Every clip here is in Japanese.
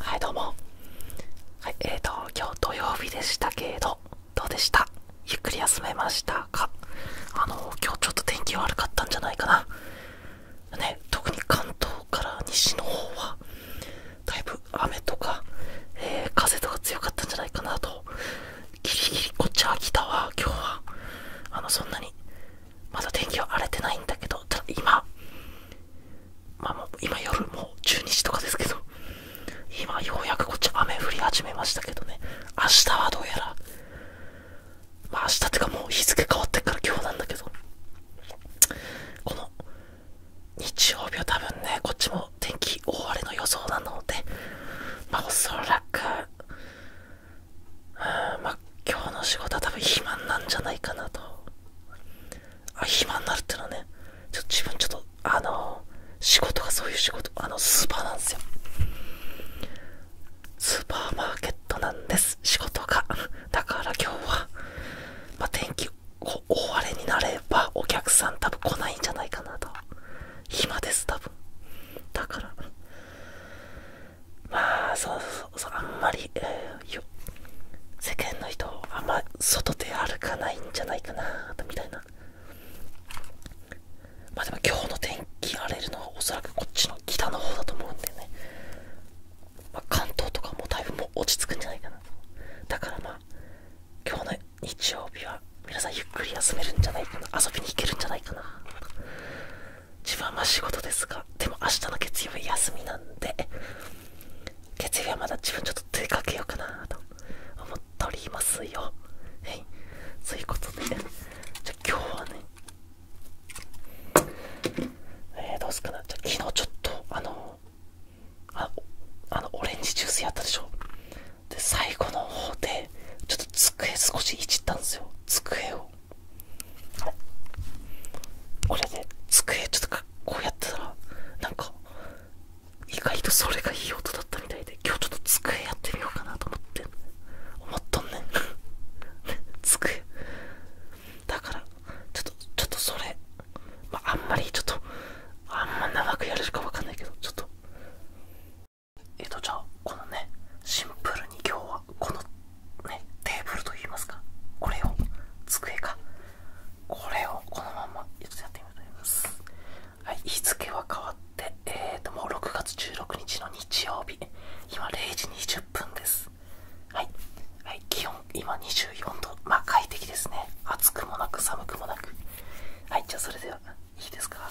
はいどうもえーと今日土曜日でしたけれどどうでしたゆっくり休めましたかあの今日ちょっと天気悪かったんじゃないかなね特に関東から西の方はだいぶ雨とか、え風とか強かったんじゃないかなとギリギリこっちは来たわ。今日はあのそんなにまだ天気は荒れてないんだけど、ただ今、まもう今夜もう12時とかですけど、今ようやくこっち雨降り始めましたけどね、明日はどうやら、まあ明日ってかもう日付変わってから今日なんだけど、この日曜日は多分ね、こっちも天気大荒れの予想なので、まおそらく、まあ今日の仕事は多分暇なんじゃないかなとあ肥満になるっていうのはねちょっと自分ちょっとあの仕事がそういう仕事あのスーパーなんですよスーパーマーケットなんです仕事が だから今日は、ま天気こう大荒れになればお客さん多分来ないんじゃないかなと暇です多分だからまあそうそうそうあんまり、世間の人あんま外で歩かないんじゃないかなみたいなまあでも今日の天気荒れるのはおそらくこっちの北の方だと思うんでね、まあ、関東とかもだいぶもう落ち着くんじゃないかなだからまあ今日の日曜日は皆さんゆっくり休めるんじゃないかな遊びに行けるんじゃないかな自分はまあ仕事ですがでも明日の月曜は休みなんで月曜はまだ自分ちょっと出かけようかなと思っておりますよはいそういうことでじゃあ今日はねえどうすかなじゃ昨日ちょっとあのああのオレンジジュースやったでしょで最後の方でちょっと机少しいじったんですよ机をこれで机ちょっとこうやってたらなんか意外とそれがいい音だったみたいで今日ちょっと机やってみようかなと思って思っとんねん 机だからちょっとちょっとそれ、まあ、あんまりちょっとあんま長くやれるかわかんないけどちょっとえっ、とじゃあこのねシンプルに今日はこのねテーブルと言いますかこれを机かこれをこのままちょっやってみようと思いますはい日付は変わってえっ、ー、ともう6月16日の日曜日今0時20分ですはい、気温今24度まあ快適ですね暑くもなく寒くもなくはいじゃあそれではいいですか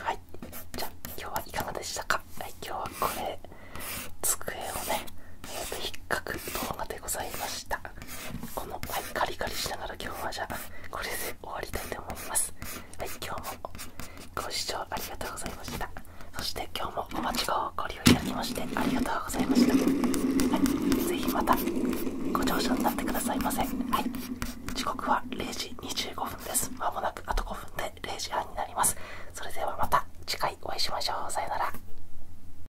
はいじゃ今日はいかがでしたか、はい、今日はこれ机をね、えー、と引っかく動画でございましたこの、はい、カリカリしながら今日はじゃあこれで終わりたいと思いますはい今日もご視聴ありがとうございましたそして今日もお待ちをご利用いただきましてありがとうございましたはいぜひまたご乗車になってくださいませはい時刻は0時25分ですまもなくあと5分で0時半になりますそれではまた次回お会いしましょうさよなら